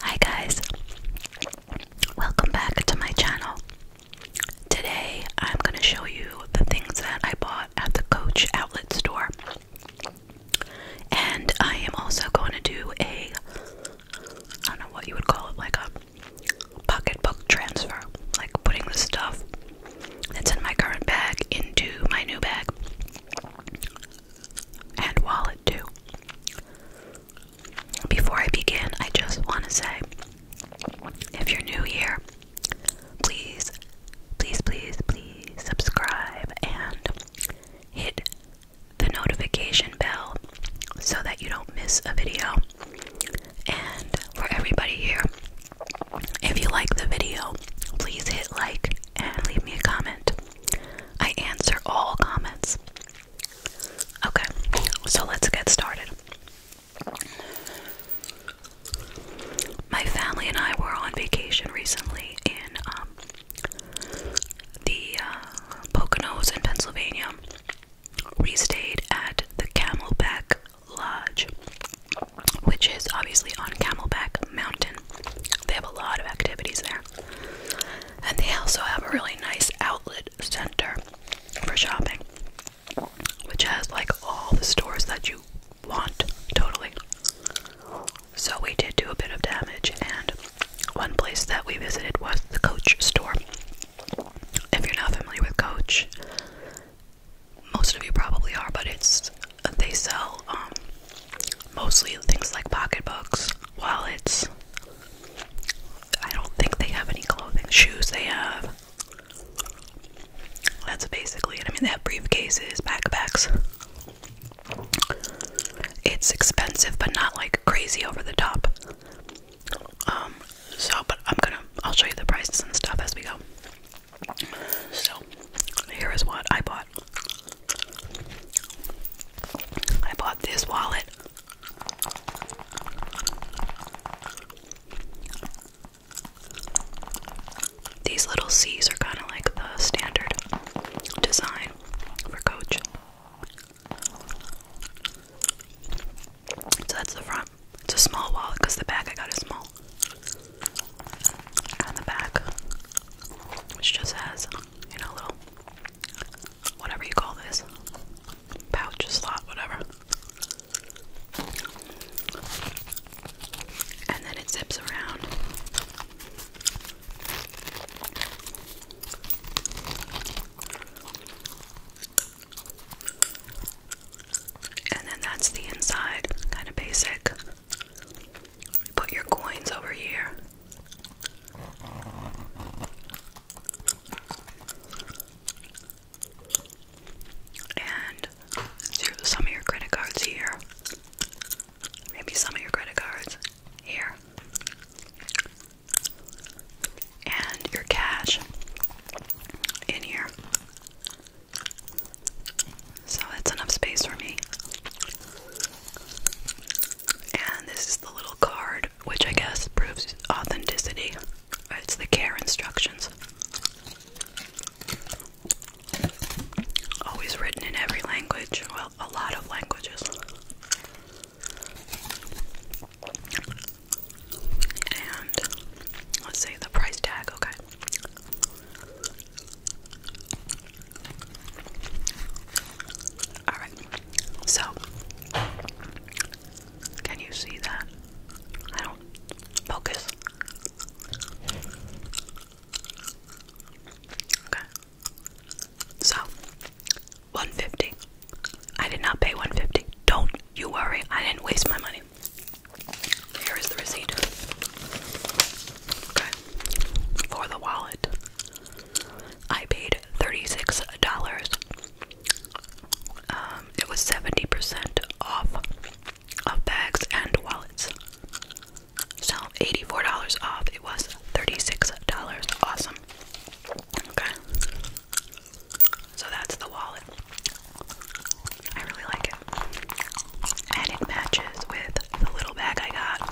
Hi guys, welcome back to my channel. Today I'm going to show you the things that I bought at the Coach Outlet Store. And I am also going to do a, I don't know what you would call it, like a pocketbook transfer. Like putting the stuff that's in my current bag into my new bag and wallet too. Before I begin, I just want to say if you're new here, please, please, please, please subscribe and hit the notification bell so that you don't miss a video. And for everybody here, if you like the video, please hit like and leave me a comment. I answer all comments. Okay, so let's get started. My family and I were on vacation recently in um, the uh, Poconos in Pennsylvania. We stayed at the Camelback Lodge, which is obviously on Camelback Mountain. They have a lot of activities there. And they also have a really nice outlet center for shopping, which has like all the stores that you want totally. So we did do a bit of damage, and one place that we visited was the Coach store. If you're not familiar with Coach, most of you probably are, but it's they sell um, mostly things like pocketbooks, wallets. I don't think they have any clothing, shoes they have. That's basically it. I mean, they have briefcases, backpacks. It's expensive, but not like crazy over the top. Um, so, but I'm gonna, I'll show you the prices and stuff as we go. So, here is what I bought. I bought this wallet. These little C's are kind of like the standard design for Coach. So that's the front. It's a small wallet because the back I got is small and the back, which just has, you know, little whatever you call this pouch, slot, whatever. And then it zips around. And then that's the inside, kind of basic. Put your coins over here. And some of your credit cards here. Maybe some of your credit cards here. And your cash in here. So that's enough space for me. And this is the little card, which I guess proves authenticity. It's the care instructions. Always written in every language, well, a lot of languages. And let's say the price tag, okay. All right. So, can you see that? I don't focus. Okay. So, 150. I did not pay 150. Don't you worry. I didn't waste my money. Here is the receipt. Okay. For the wallet. I paid $36. Um, it was 70% off of bags and wallets. So $84 off. It was $36. Awesome. Okay. So that's the wallet. I really like it and it matches with the little bag I got.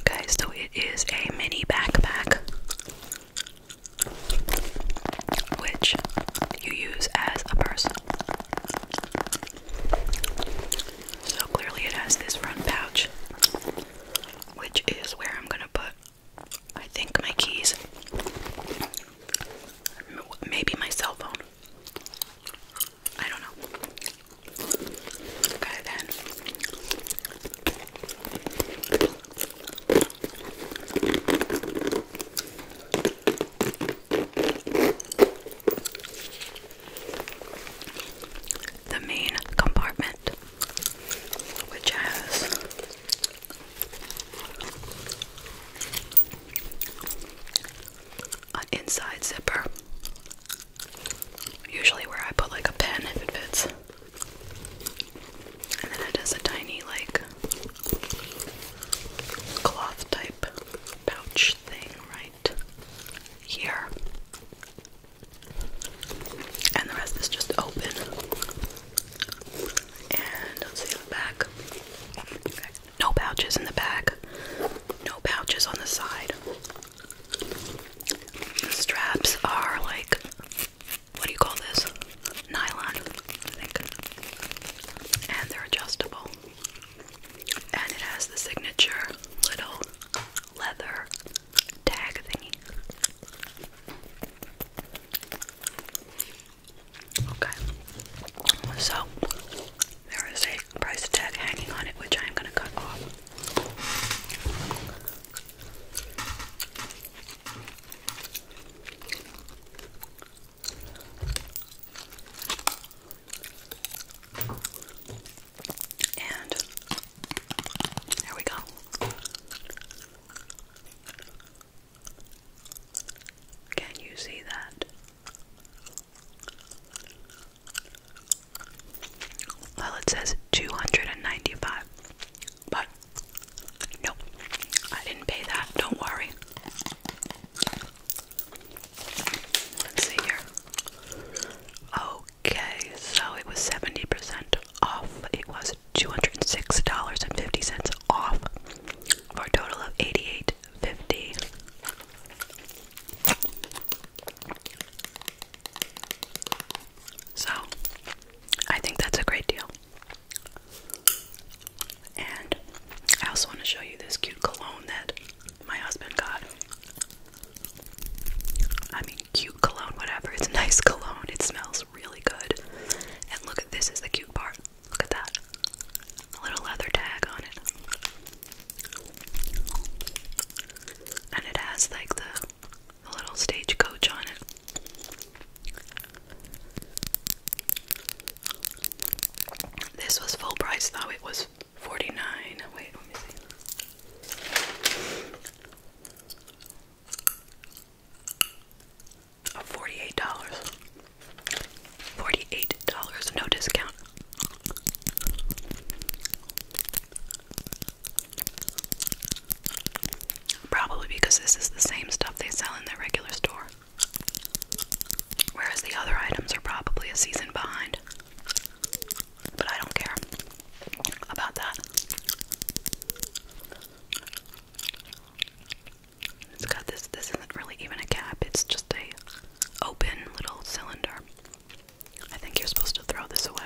Okay, so it is a mini backpack which you use as a purse. So clearly, it has this front pouch which is where I'm gonna put, I think, my keys. Maybe my cell phone. I don't know. Okay, then the main compartment, which has an inside zipper, usually where I put like a pen if it fits, and then it has a tiny like cloth type pouch thing right here and the rest is just open. And see the back. No pouches in the back. No pouches on the side. The straps are like what do you call this? Nylon, And they're adjustable. And it has the signature little leather tag thingy. Okay, so there is a price tag hanging on it, which I'm going to cut off. And there we go. Can you see that? Well, it says 295. But nope. I didn't pay that. Don't worry. Let's see here. Oh, Okay, so it was 70% off. It was $206.50 off for a total of $88.50. So, I think that's a great deal. And I also want to show you this cute cologne that my husband got. I mean, cute cologne, whatever. It's a nice cologne. It smells really good. And look at this is the cute part. Look at that. A little leather tag on it. And it has like the, the little stagecoach on it. This was full price though. It was 49. Wait, let me see. $48. $48, no discount. Probably because this is the same stuff they sell in their regular store. Whereas the other items are probably a season behind. But I don't care about that. it this this isn't really even a cap, it's just a open little cylinder. I think you're supposed to throw this away.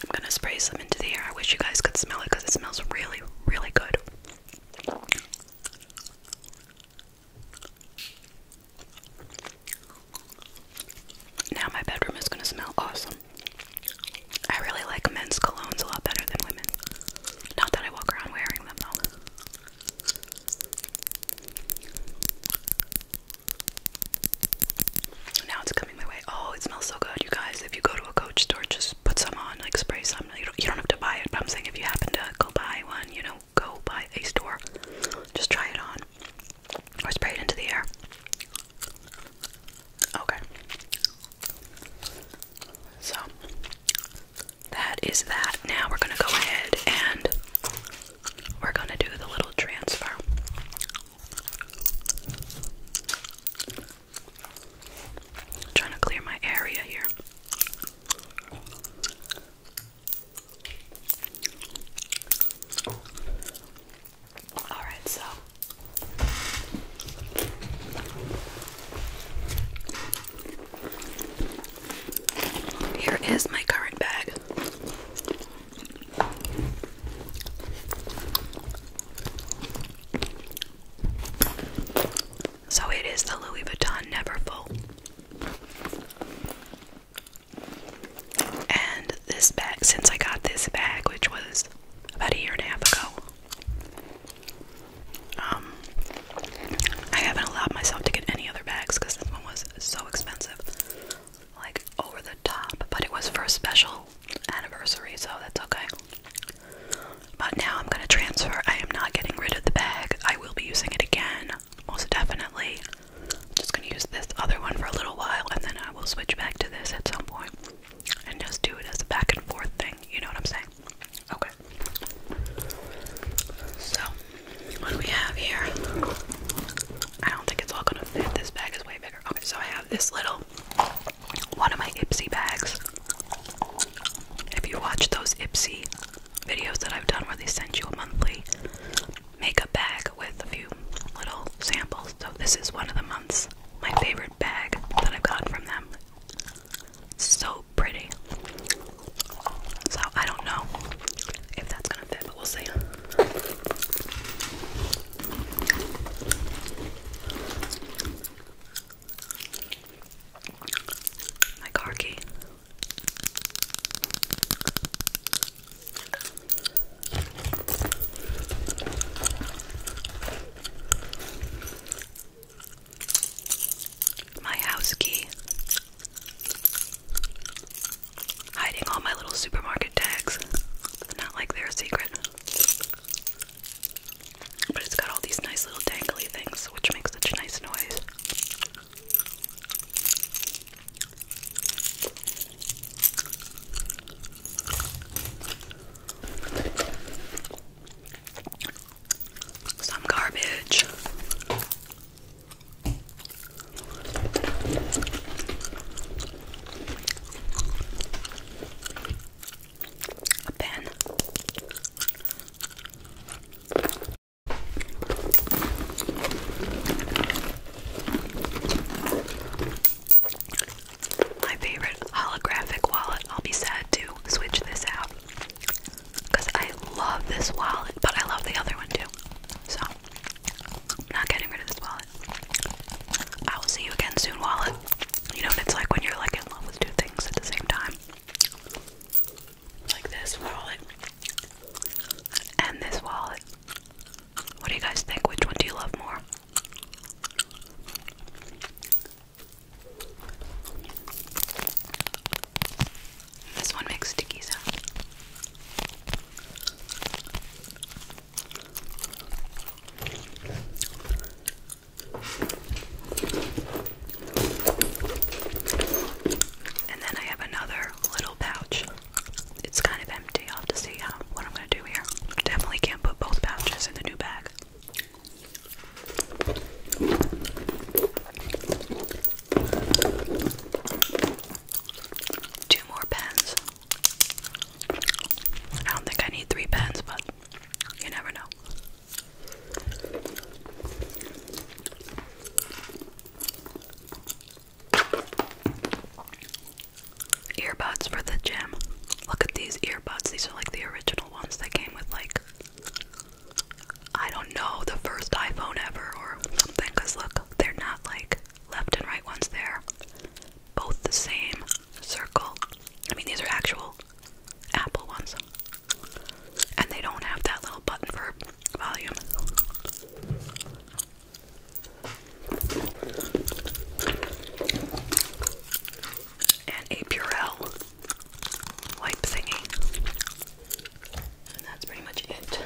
I'm gonna spray some into the air. I wish you guys could smell it because it smells really, really good. Now my bedroom is gonna smell awesome. I really like men's colognes a lot better than women. Not that I walk around wearing them though. Now it's Oh, it smells so good, you guys. If you go to a Coach store, just put some on, like spray some. You don't, you don't have to buy it, but I'm saying if you happen to go buy one, you know, go buy a store. Just try it on or spray it into the air. Okay. So that is that. Now we're going to go ahead and we're going to do the little transfer trying to clear my area here. Alright, so here is my current bag. So it is the Louis Vuitton Neverfull, And this bag, since I got this bag, which was about a year and a half ago, um, I haven't allowed myself to get any other bags because this one was so expensive, like over the top. But it was for special anniversary, so that's okay. But now I'm gonna transfer. I am not getting rid of the bag. I will be using it again, most definitely. just gonna use this other one for a little while, and then I will switch back to this at some point, and just do it as a back and forth thing. You know what I'm saying? Okay. So, what do we have here? I don't think it's all gonna fit. This bag is way bigger. Okay, so I have this little one of my Ipsy bags. If you watch those Ipsy videos that I've done where they send you a monthly makeup bag with a few little samples, so this is one of the months. My favorite bag that I've gotten from them. So pretty. So I don't know if that's gonna fit, but we'll see. Like hockey. My house key. Hiding all my little supermarket tags. Not like they're secret. But it's got all these nice little dangly things, which makes such nice noise. Some garbage a pen. My favorite holographic wallet. I'll be sad to switch this out because I love this wallet, but I love the other one too. So, not getting rid of this wallet. I will see you again soon, Wallet. You know what it's like when you're like in love with two things at the same time. Like this wallet and this wallet. What do you guys think? Which one do you love more? This one makes sticky sound. And then I have another little pouch. It's kind of empty. i have to see how uh, what I'm gonna do here. Definitely can't put both pouches in the new bag. Two more pens. I don't think I need three pens, but you never know. Earbuds for the gym. Look at these earbuds. These are like the original ones that came with, like, I don't know, the first iPhone ever or something. Because look, they're not like left and right ones, there both the same circle. I mean, these are actual Apple ones, and they don't have that little button for volume. And a Purell wipe thingy. And that's pretty much it.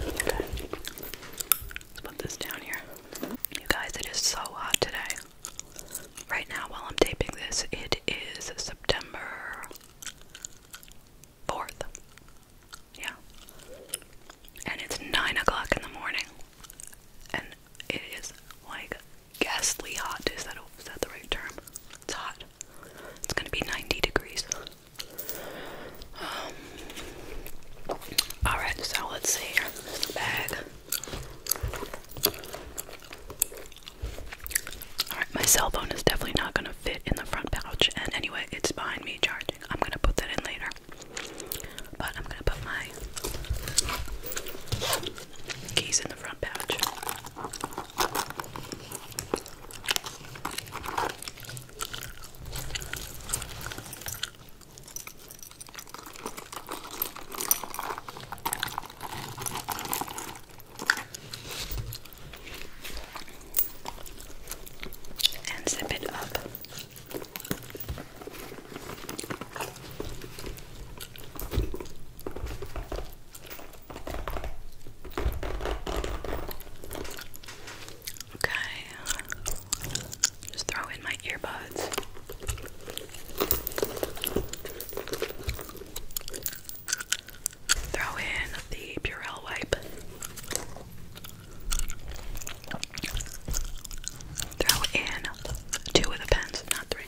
Okay. Let's put this down here. You guys, it is so hot today. Right now, while I'm taping this, it is September 4th. Yeah. And it's 9 o'clock in the morning. And it is like ghastly hot. Is that, that the right term? It's hot. It's gonna be 90 degrees. Um, Alright, so let's see. here. bag. Alright, my cell phone is definitely not going to fit in the front pouch. And anyway, it's behind me charging. I'm going to put that in later. But I'm going to put my keys in the front pouch and zip it up. Okay. Just throw in my earbuds. Throw in the Purell wipe. Throw in two of the pens, not three.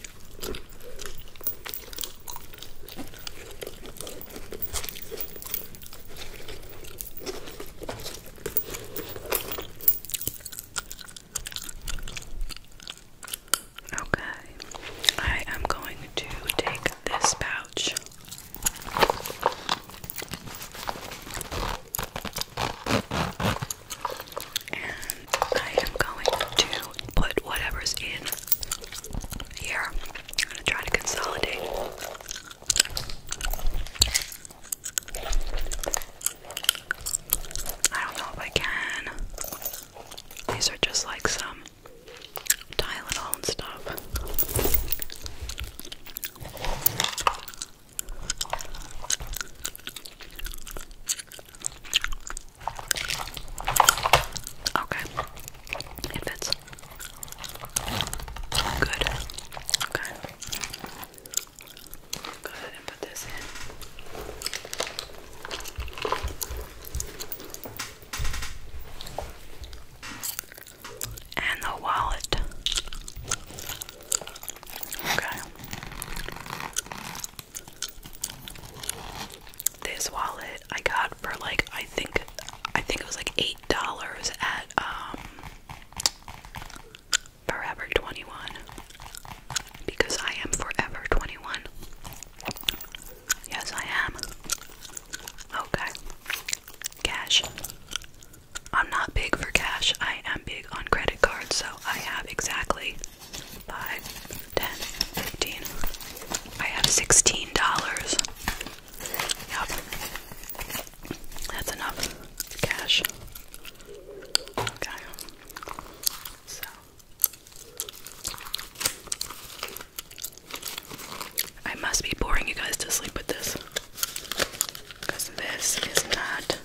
Okay, I am going to take this pouch. And I am going to put whatever's in here. I'm going to try to consolidate. I don't know if I can. These are just like some Tylenol stuff. Okay. It fits. Good. Okay. Go ahead and put this in. And the wallet. Okay. This wallet I got for like I think I think it was like eight dollars at um Forever 21. Because I am forever 21. Yes, I am. Okay. Cash. I'm not big for cash. I am big on credit cards, so I have exactly 5, 15. I have $16. Yep. That's enough cash. Okay. So I must be boring you guys to sleep with this. Because this is not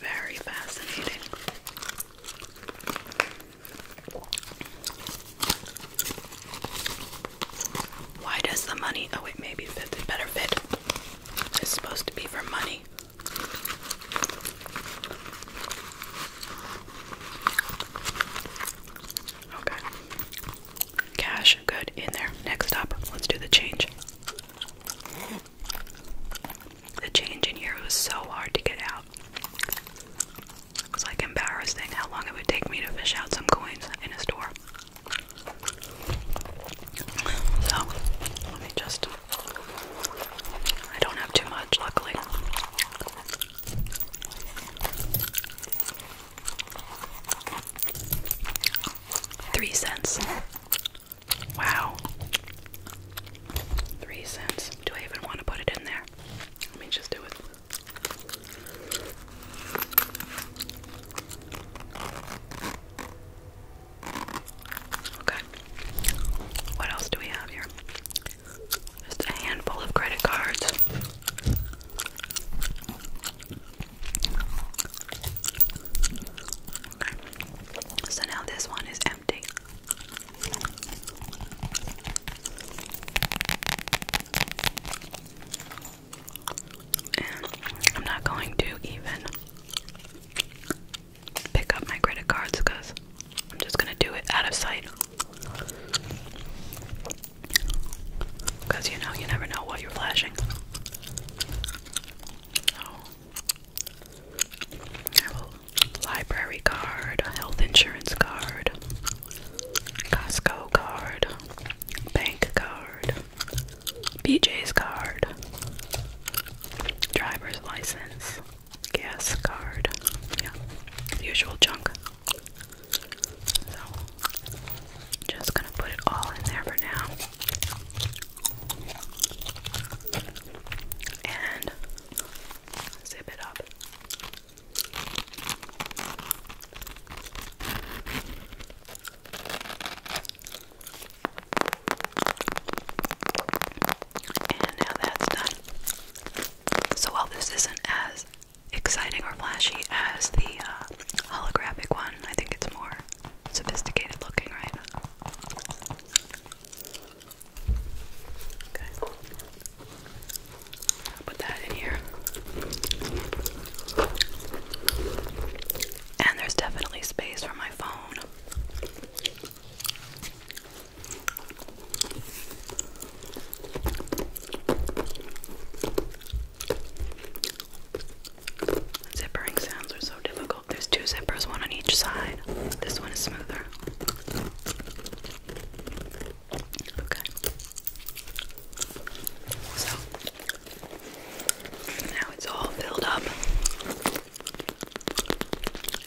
very fascinating. Why does the money? Oh, it maybe fits. better fit it's supposed to be for money. Okay. Cash, good, in there. Next stop, let's do the change. The change in here was so hard to get out. It was like embarrassing how long it would take me to fish out some coins in a store. So, let me just. I don't have too much, luckily. Three cents. Wow. Three cents. Do I even want to put it in there? Let me just do it. Okay. What else do we have here? Just a handful of credit cards. So now this one is empty. And I'm not going to even pick up my credit cards because I'm just going to do it out of sight. Because you know, you never know what you're flashing. So, library card, health insurance card, Costco card, bank card, BJ's card, driver's license, gas card, yeah, usual junk. So, just gonna put it all in there for now. And zip it up. And now that's done. So while this isn't as exciting or flashy as the uh, holographic one, I think it's more sophisticated looking, right? Okay. put that in here. And there's definitely space for my phone. Zippering sounds are so difficult. There's two zippers, one on each side. This one is smoother. Okay. So, now it's all filled up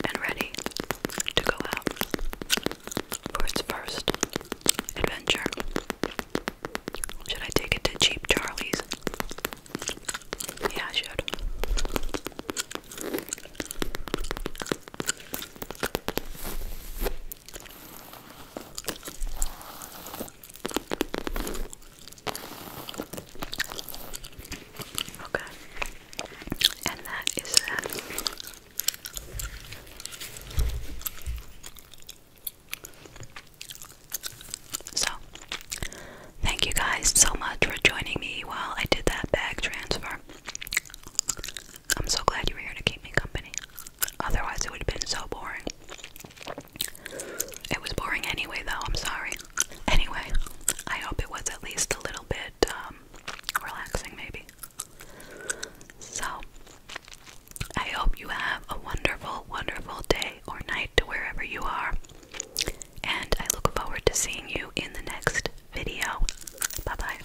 and ready to go out for its first adventure. Should I take it to Cheap Charlie's? Yeah, I should. Okay. And that is that. So, thank you guys so much for joining me while I did that bag transfer. I'm so glad you were here to keep me company. Otherwise, it would have been so boring. It was boring anyway, though. I'm sorry. Anyway, I hope it was at least a little bit um, relaxing, maybe. So, I hope you have a wonderful, wonderful day or night to wherever you are. And I look forward to seeing you in the next video. Bye bye.